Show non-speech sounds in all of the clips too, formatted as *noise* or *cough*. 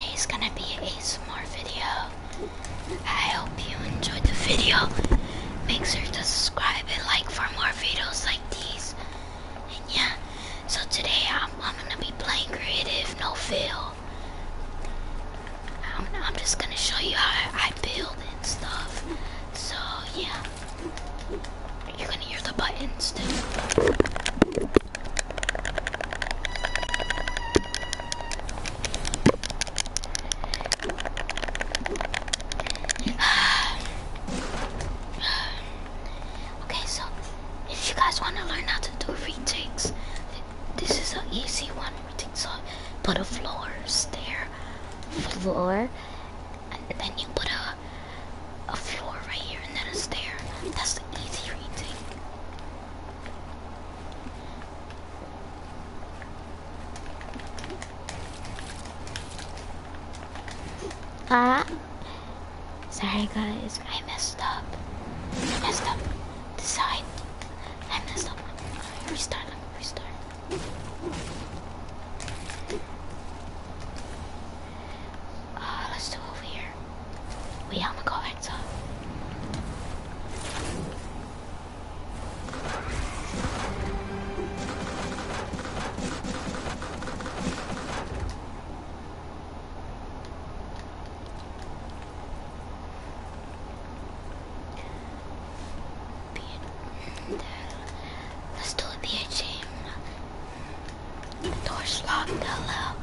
Today's gonna be a small video. I hope you enjoyed the video. Make sure to subscribe and like for more videos like these. And yeah, so today I'm, gonna be playing creative, no Feel. I'm, I'm just gonna show you how I build and stuff. So yeah, you're gonna hear the buttons too. *sighs* okay, so if you guys want to learn how to do retakes, this is an easy one. Retake so put a floor stair floor, and then you put a a floor right here, and then a stair. That's the easy retake. Ah. Sorry guys, I messed up. messed up the I messed up. Restart, restart. Uh, let's do over here. We are the going Let's do a BHA. The Door's locked, hello.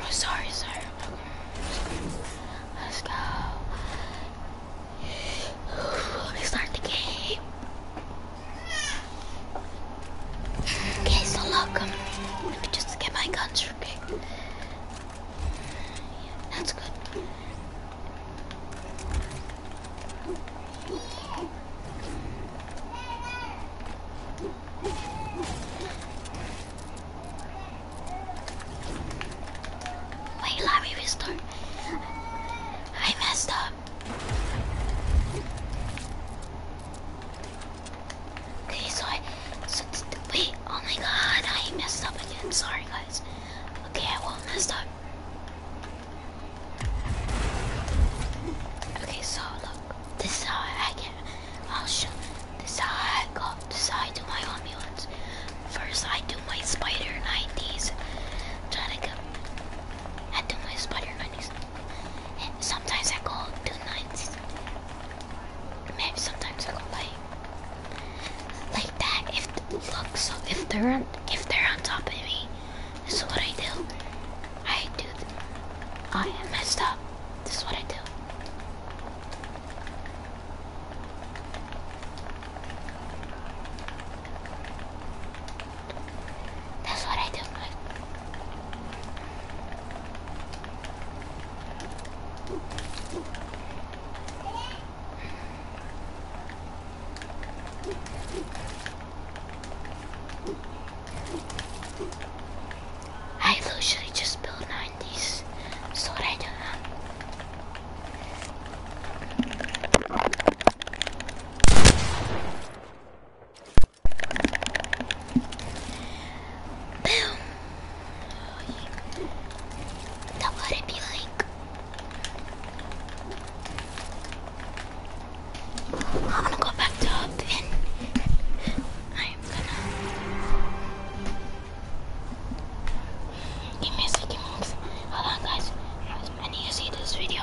Oh, sorry, sorry. Let's go. let me start the game. Okay, so lock look. Let me just get my guns real That's good. Wait, let me restore. I messed up. Okay, so I, wait, oh my god, I messed up again, sorry guys. Okay, I won't mess up. Okay, so look, this is how I get, I'll show, this is how I go, this is how I do my amulets. First I do my spider 90s, try to go, I do my spider 90s. sometimes I go do 90s, maybe sometimes I go like, like that. If look, so if they're on, if they're on top of me, this is what I do. I do. I am messed up. This is what I do. That's what I do. I usually just built 90s, so I do Boom! That would be like I'm gonna go back to up and I am gonna give me a second minutes. Hold on guys. I need to see this video.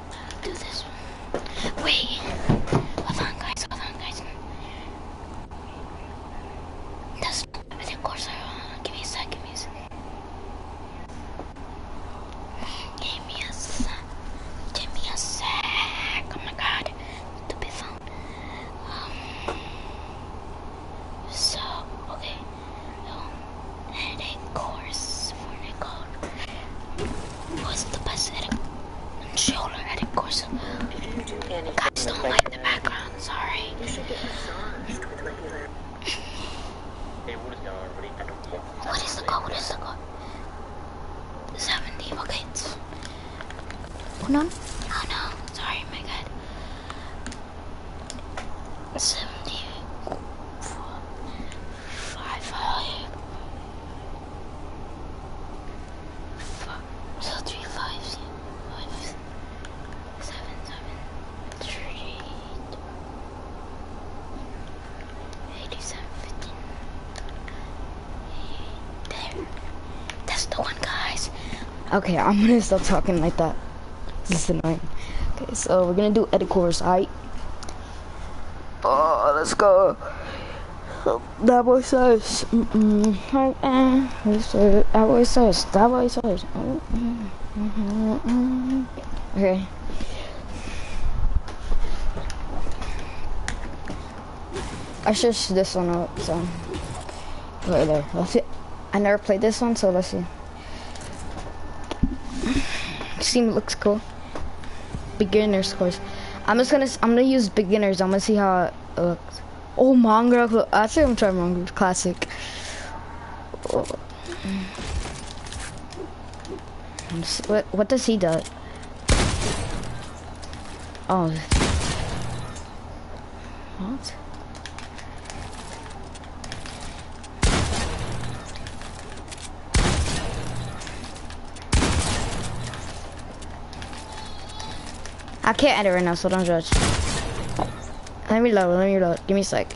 do this. Wait. Hold on, guys. Hold on, guys. That's not give me a sec. Give me a sec. Give me a sec. Give me a sec. Oh my god. To be Um. So, okay. Um, course for Nicole. What's the best edit controller edit course. Do do Guys, don't like the background, sorry. You should get massaged with regular. *laughs* hey, what is going on? What is the code? What is the code? 70, okay. Hold on. Oh no, sorry, my god. 70. Five, so three five five seven seven three eight eighty seven fifteen. There, that's the one, guys. Okay, I'm gonna stop talking like that. This is annoying. Okay, so we're gonna do edit course, Oh, let's go. That boy says. Mm-hmm. That boy says. That boy says. Mm-hmm. Okay. I searched this one up, so. Right there. Let's see. I never played this one, so let's see. Steam looks cool. Beginner's course. I'm just gonna, I'm gonna use beginners. I'm gonna see how it looks. Oh, mongrel. I think I'm trying mongrel classic. Oh. What, what does he do? Oh. What? I can't edit right now, so don't judge. Let me load, let me load. Give me a sec.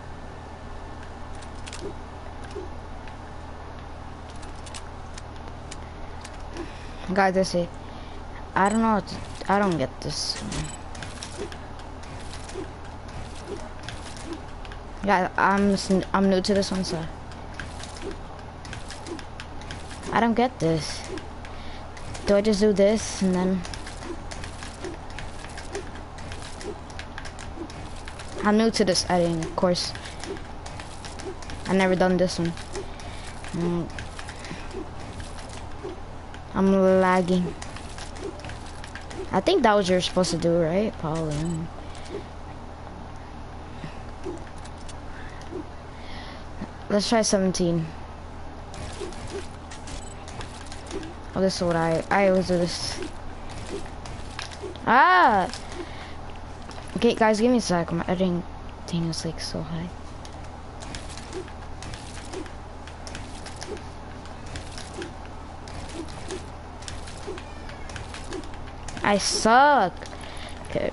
Guys, I see. I don't know. I don't get this. Yeah, I'm I'm new to this one, so I don't get this. Do I just do this and then? I'm new to this editing, of course. I never done this one. Mm. I'm lagging. I think that was you're supposed to do, right, Paula? Let's try 17. Oh, this is what I, I always do this. Ah! Okay, guys, give me a sec. My editing thing is like so high. I suck. Okay.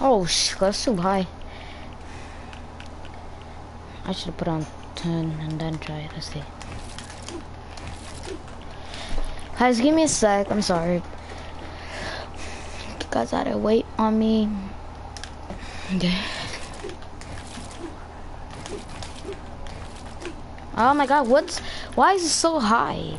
Oh, sh that's too high. I should put on 10 and then try it. Let's see. Guys, give me a sec. I'm sorry. You guys had to wait on me. Oh my god, what's... Why is it so high?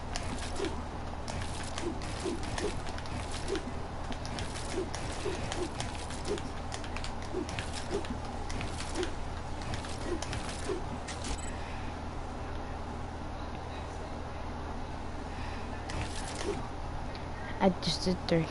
I just did three.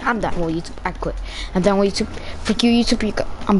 I'm done with YouTube. I quit. I'm done with YouTube. Fuck you, YouTube. You go. I'm